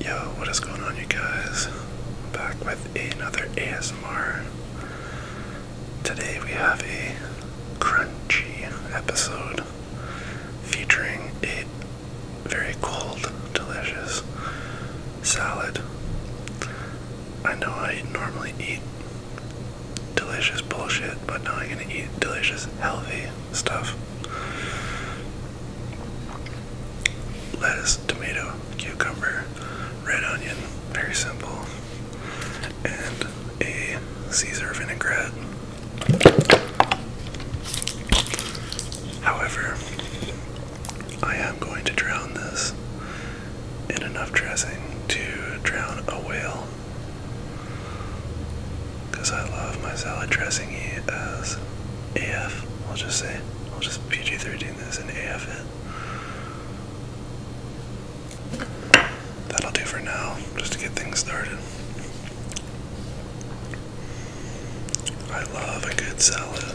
Yo, what is going on, you guys? back with another ASMR. Today we have a crunchy episode featuring a very cold, delicious salad. I know I normally eat delicious bullshit, but now I'm gonna eat delicious, healthy stuff lettuce, tomato, cucumber, red onion, very simple, and a Caesar vinaigrette. However, I am going to drown this in enough dressing to drown a whale. Because I love my salad dressing as AF, I'll just say. I'll just PG 13 this and AF it. That'll do for now, just to get things started. I love a good salad.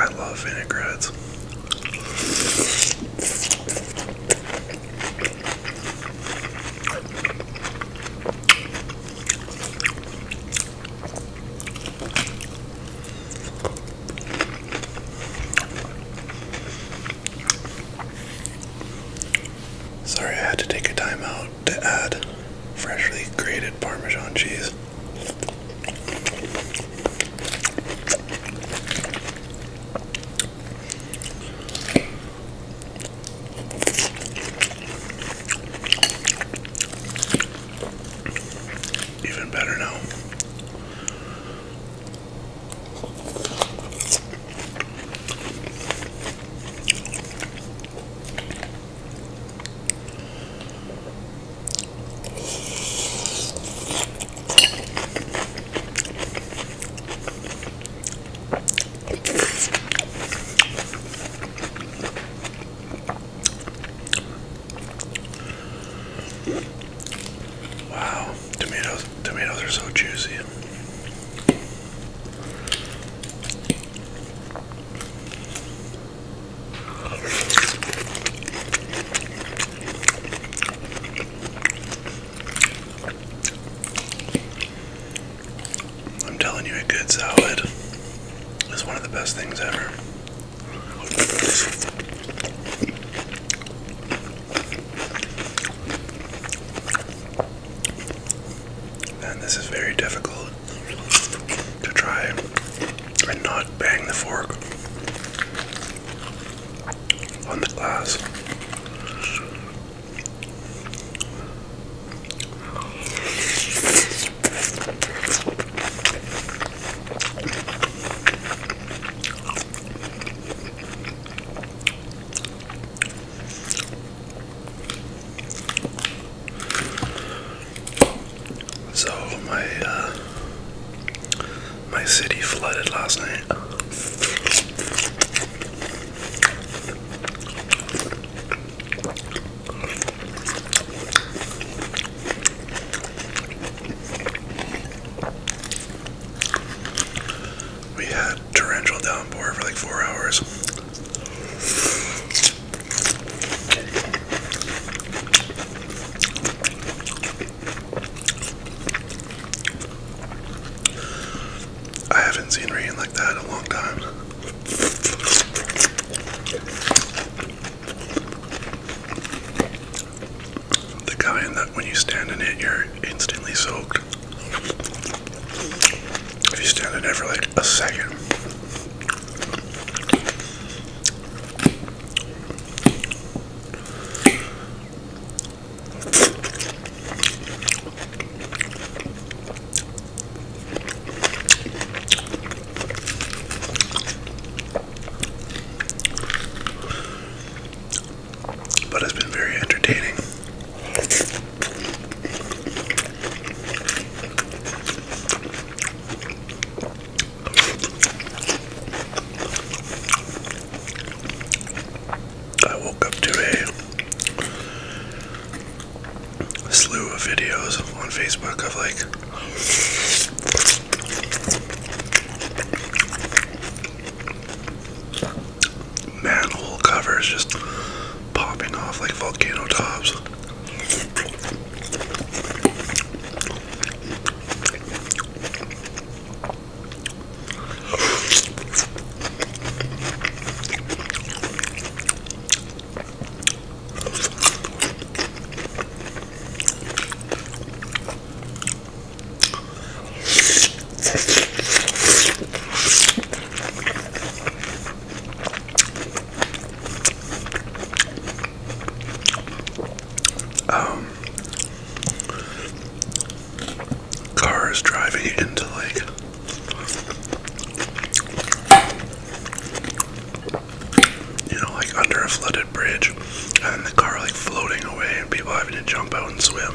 I love vinaigrettes. Sorry, I had to take a time out to add freshly grated Parmesan cheese. Even better now. Wow, tomato tomatoes are so juicy. I'm telling you, a good salad is one of the best things ever. And this is very difficult to try and not bang the fork on the glass. So my uh, my city flooded last night. We had torrential downpour for like four hours. I haven't seen rain like that a long time. The kind that when you stand in it, you're instantly soaked. If you stand in there for like a second, but it's been very entertaining. I woke up to a slew of videos on Facebook of like manhole covers just popping off like volcano tops. Um, cars driving into like you know, like under a flooded bridge, and the car like floating away, and people having to jump out and swim.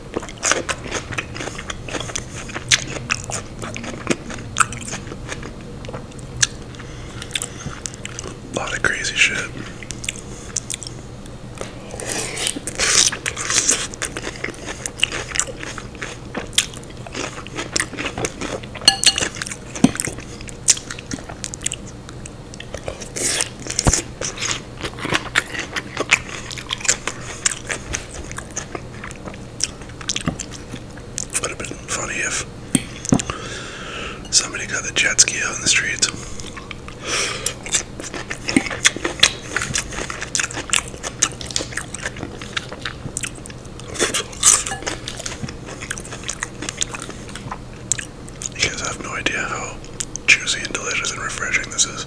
A lot of crazy shit. Would have been funny if somebody got the jet ski out in the streets. You guys have no idea how juicy and delicious and refreshing this is.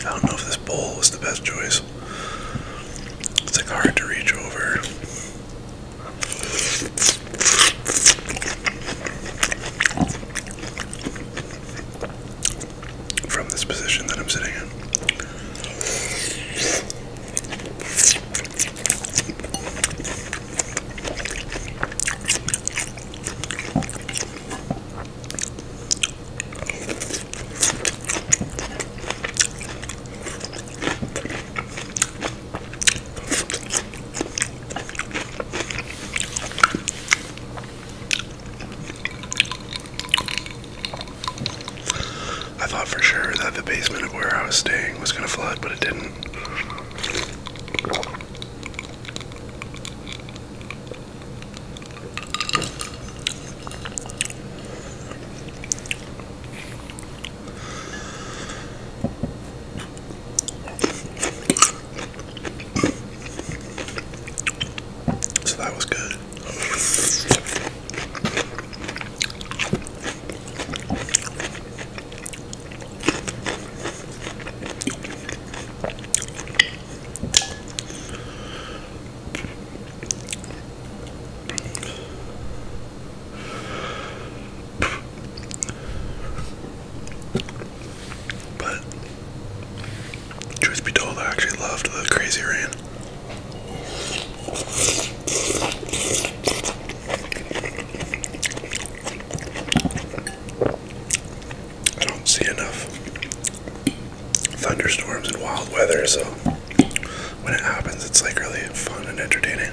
I don't know if this bowl was the best choice. It's like hard to reach over. From this position that I'm sitting in. I thought for sure that the basement of where I was staying was going to flood, but it didn't. So that was good. But truth be told, I actually loved the crazy rain. I don't see enough thunderstorms and wild weather, so when it happens, it's like really fun and entertaining.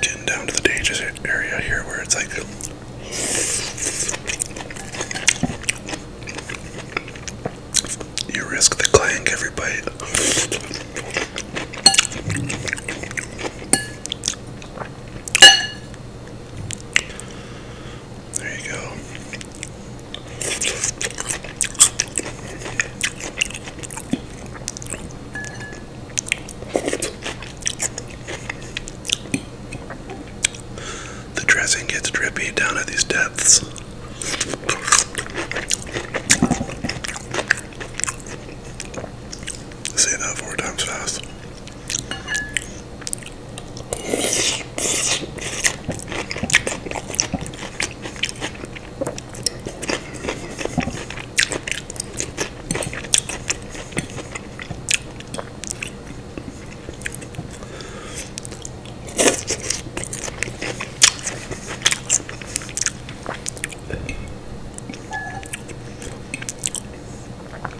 Getting down to the dangerous area here where it's like you risk the clank every bite. There you go. The dressing gets drippy down at these depths. Say that four times fast.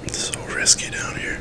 It's so risky down here.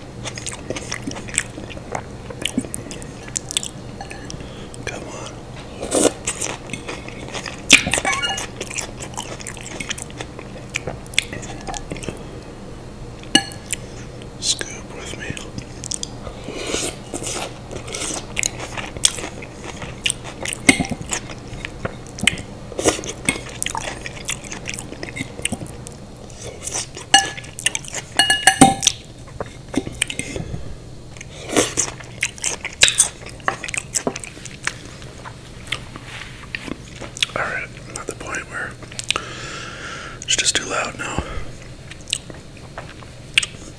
Come on. Scoop with me. All at the point where it's just too loud now.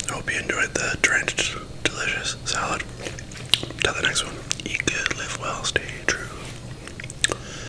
I hope you enjoyed the drenched, delicious salad. Till the next one, eat good, live well, stay true.